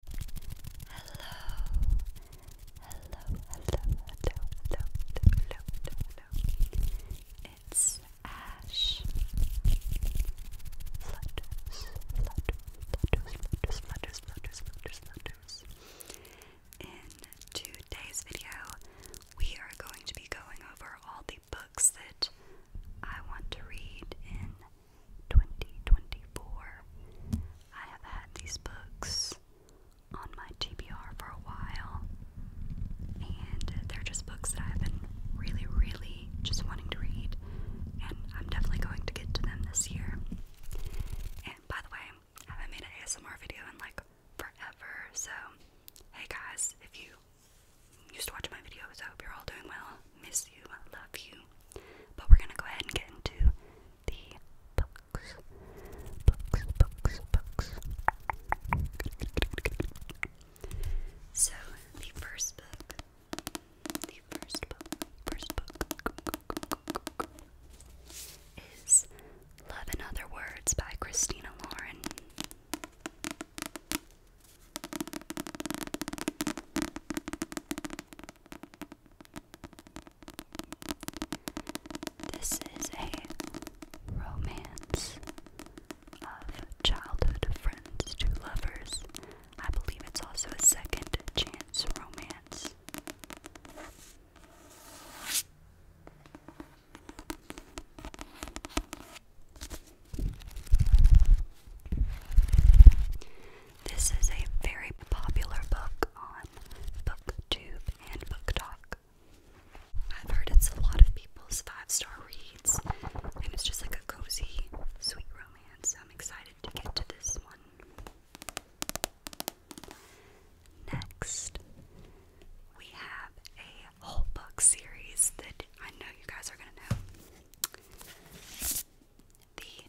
hello, hello, hello, hello, hello, hello. It's Ash. Flutters, flutters, flutters, flutters, flutters, flutters, flutters. In today's video, we are going to be going over all the books that I want to read in 2024. I have had these books on my TBR for a while, and they're just books that I've been really, really just wanting to read, and I'm definitely going to get to them this year. And by the way, I haven't made an ASMR video in like forever, so hey guys, if you used to watch my videos, I hope you're all doing well. Miss you, I love you. But we're gonna go ahead and get into the books. Books, books, books. So the first book. The first book. First book is Love in Other Words by Christina Lauren. This is a romance of childhood friends to lovers. I believe it's also a second chance romance. This is a very popular book on BookTube and BookTok. I've heard it's a lot of people's five star reads, and it's just like a cozy, sweet romance. I'm excited to get to this one. Next, we have a whole book series that I know you guys are going to know. The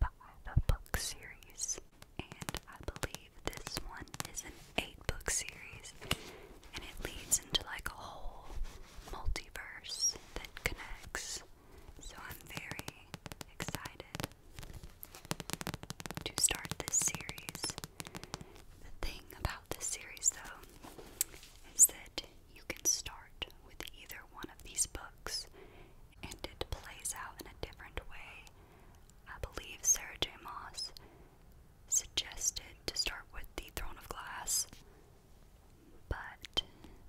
five book series, and I believe this one is an eight book series, and it leads into like a whole multiverse that connects. So I'm very excited to start this series. The thing about this series, though, is that you can start with either one of these books and it plays out in a different way. I believe Sarah J. Moss suggested to start with the Throne of Glass, but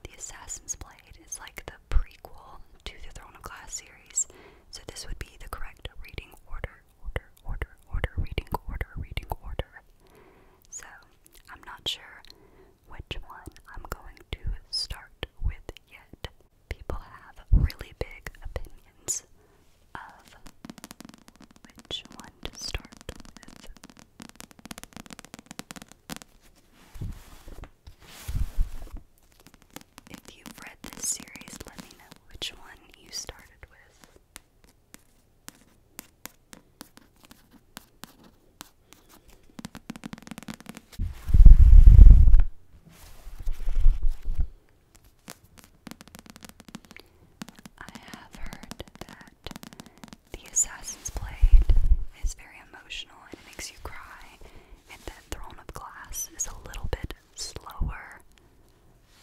the Assassin's Blade is like the prequel to the Throne of Glass series, so this would be the correct reading order, order, order, order, reading order, reading order. So I'm not sure which one I'm going to start with yet people have really big opinions of which one to start with. If you've read this series, let me know which one you started with. I have heard that the Assassin's Blade is very emotional and it makes you cry, and that Throne of Glass is a little bit slower.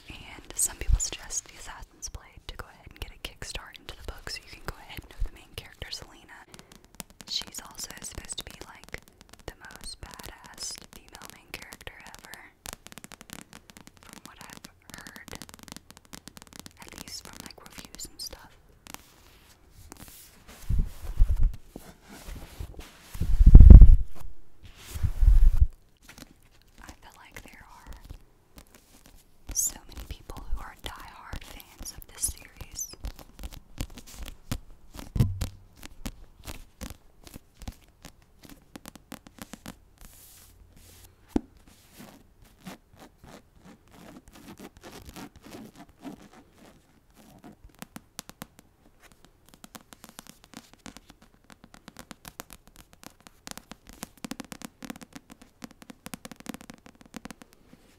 And some people suggest the Assassin's Blade to go ahead and get a kickstart into the book so you can go ahead and know the main character Selena She's also supposed to be like the most badass female main character ever, from what I've heard, at least from like reviews and stuff. I feel like there are so many people who are diehard of this series.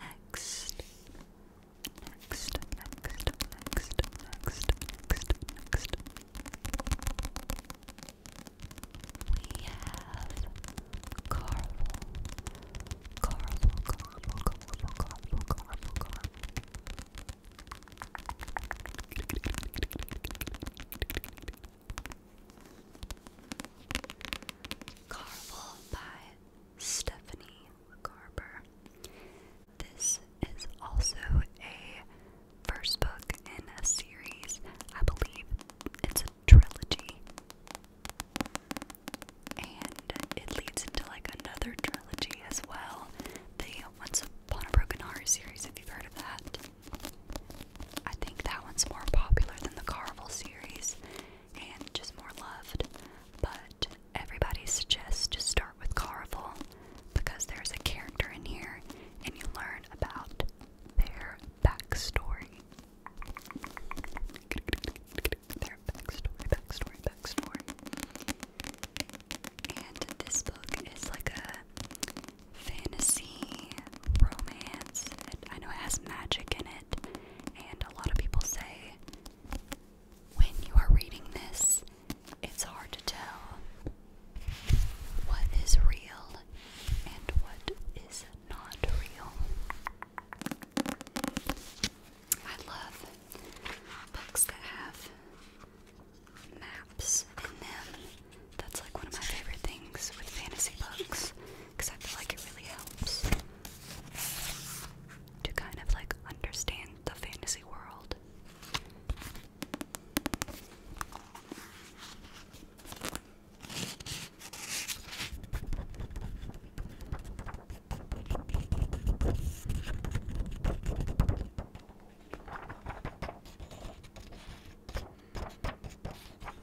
Next. Next, next, next, next, next, next. We have Carvel. Carvel, Carvel, Carvel, Carvel, Carvel, Carvel. Carvel by Stephanie Garber. This is also a first book in a series. I believe it's a trilogy. And it leads into like another trilogy as well. The Once Upon a Broken Heart series, if you've heard of that. I think that one's more popular than the Carvel series and just more loved. But everybody suggests to start with Carvel because there's a character in here and you learn about their backstory. Their backstory, backstory, backstory. And this book is like a fantasy romance. I know it has magic in it, and a lot of people say when you are reading this, it's hard to tell what is real and what is not real. I love books that have maps in them. That's like one of my favorite things with fantasy books because I feel like it really helps to kind of like understand the fantasy world.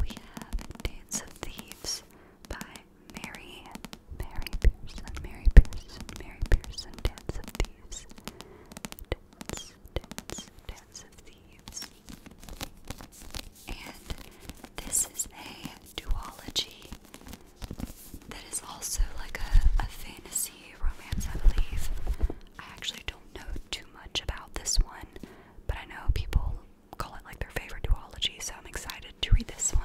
we have Dance of Thieves by Mary, Mary Pearson, Mary Pearson, Mary Pearson, Dance of Thieves. Dance, dance, dance of Thieves. And this is a duology that is also like a, a fantasy romance, I believe. I actually don't know too much about this one, but I know people call it like their favorite duology, so I'm excited to read this one.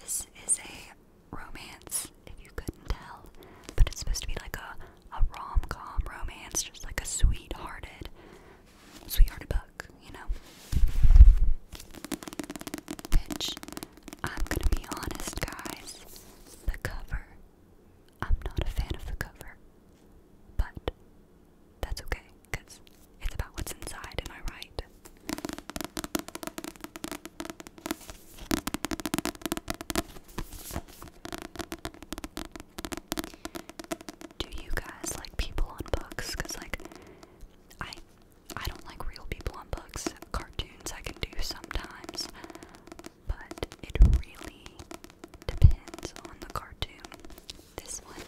this is a romance, if you couldn't tell, but it's supposed to be like a, a rom com romance, just like a sweethearted, sweethearted book, you know? Which, I'm gonna be honest, guys, the cover. I'm not a fan of the cover. But that's okay, because it's about what's inside, am I right? Do you guys like people on books? Cause like I I don't like real people on books. Cartoons I can do sometimes, but it really Depends on the cartoon. This one,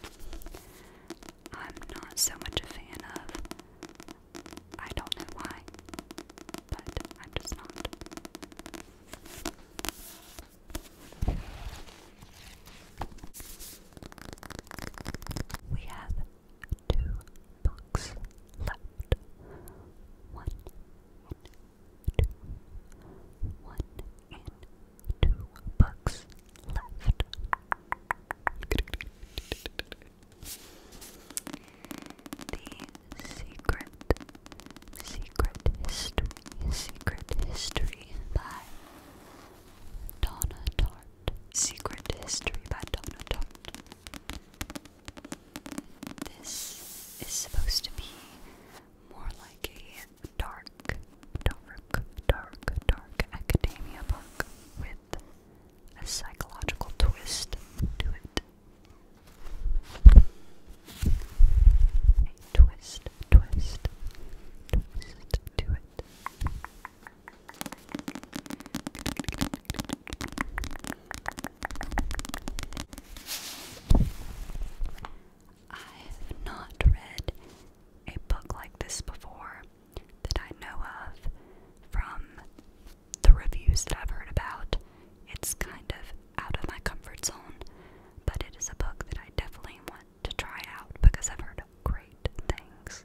I'm not so much a fan of. I don't know why, but I'm just not. We have two books left. One two, one, and two books left. The Secret, Secret History, Secret History by Donna Tartt. Secret History by Donna Tartt. This is supposed to be more like a dark, dark, dark, dark academia book with a psychological twist to it. twist, twist, twist to it. I have not read a book like this before that I know of from the reviews that I've heard about. It's kind of out of my comfort zone, but it is a book that I definitely want to try out because I've heard great things.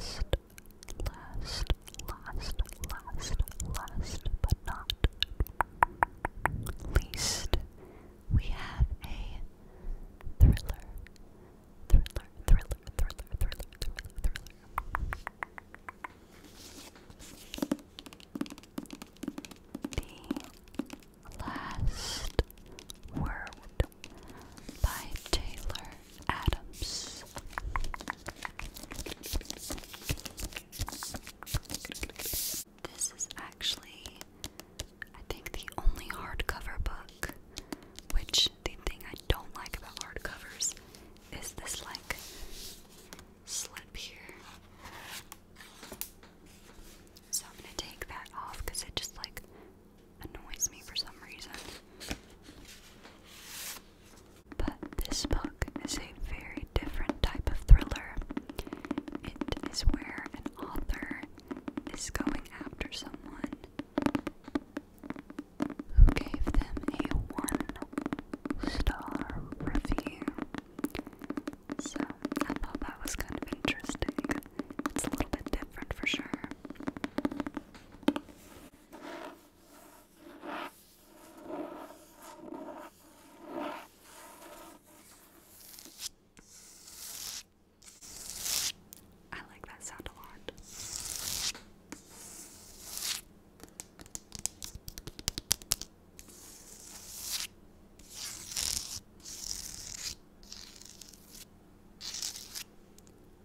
And last last, last, last, last, but not least, we have a thriller, thriller, thriller, thriller, thriller, thriller, thriller. The Last Word by Taylor Adams. This is actually, I think, the only hardcover book. Which the thing I don't like about hardcovers is this like slip here. So I'm gonna take that off because it just like annoys me for some reason. But this book is a very different type of thriller. It is where an author is going after someone who gave them a one star review. So I thought that was kind of interesting. It's a little bit different for sure. I like that sound a lot last word.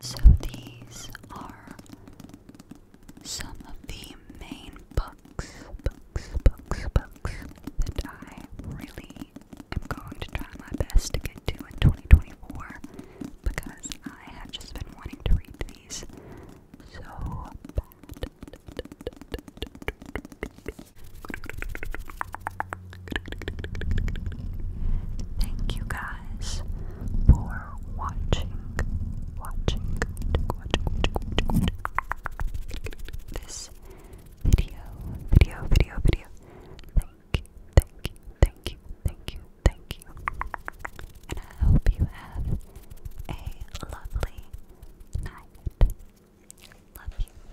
So these are some of the main books, books, books, books that I really am going to try my best to get to in 2024 because I have just been wanting to read these so bad. Thank you guys for watching, watching, watching, this video, video, video, video. Thank you, thank you, thank you, thank you, thank you. And I hope you have a lovely night. Love you.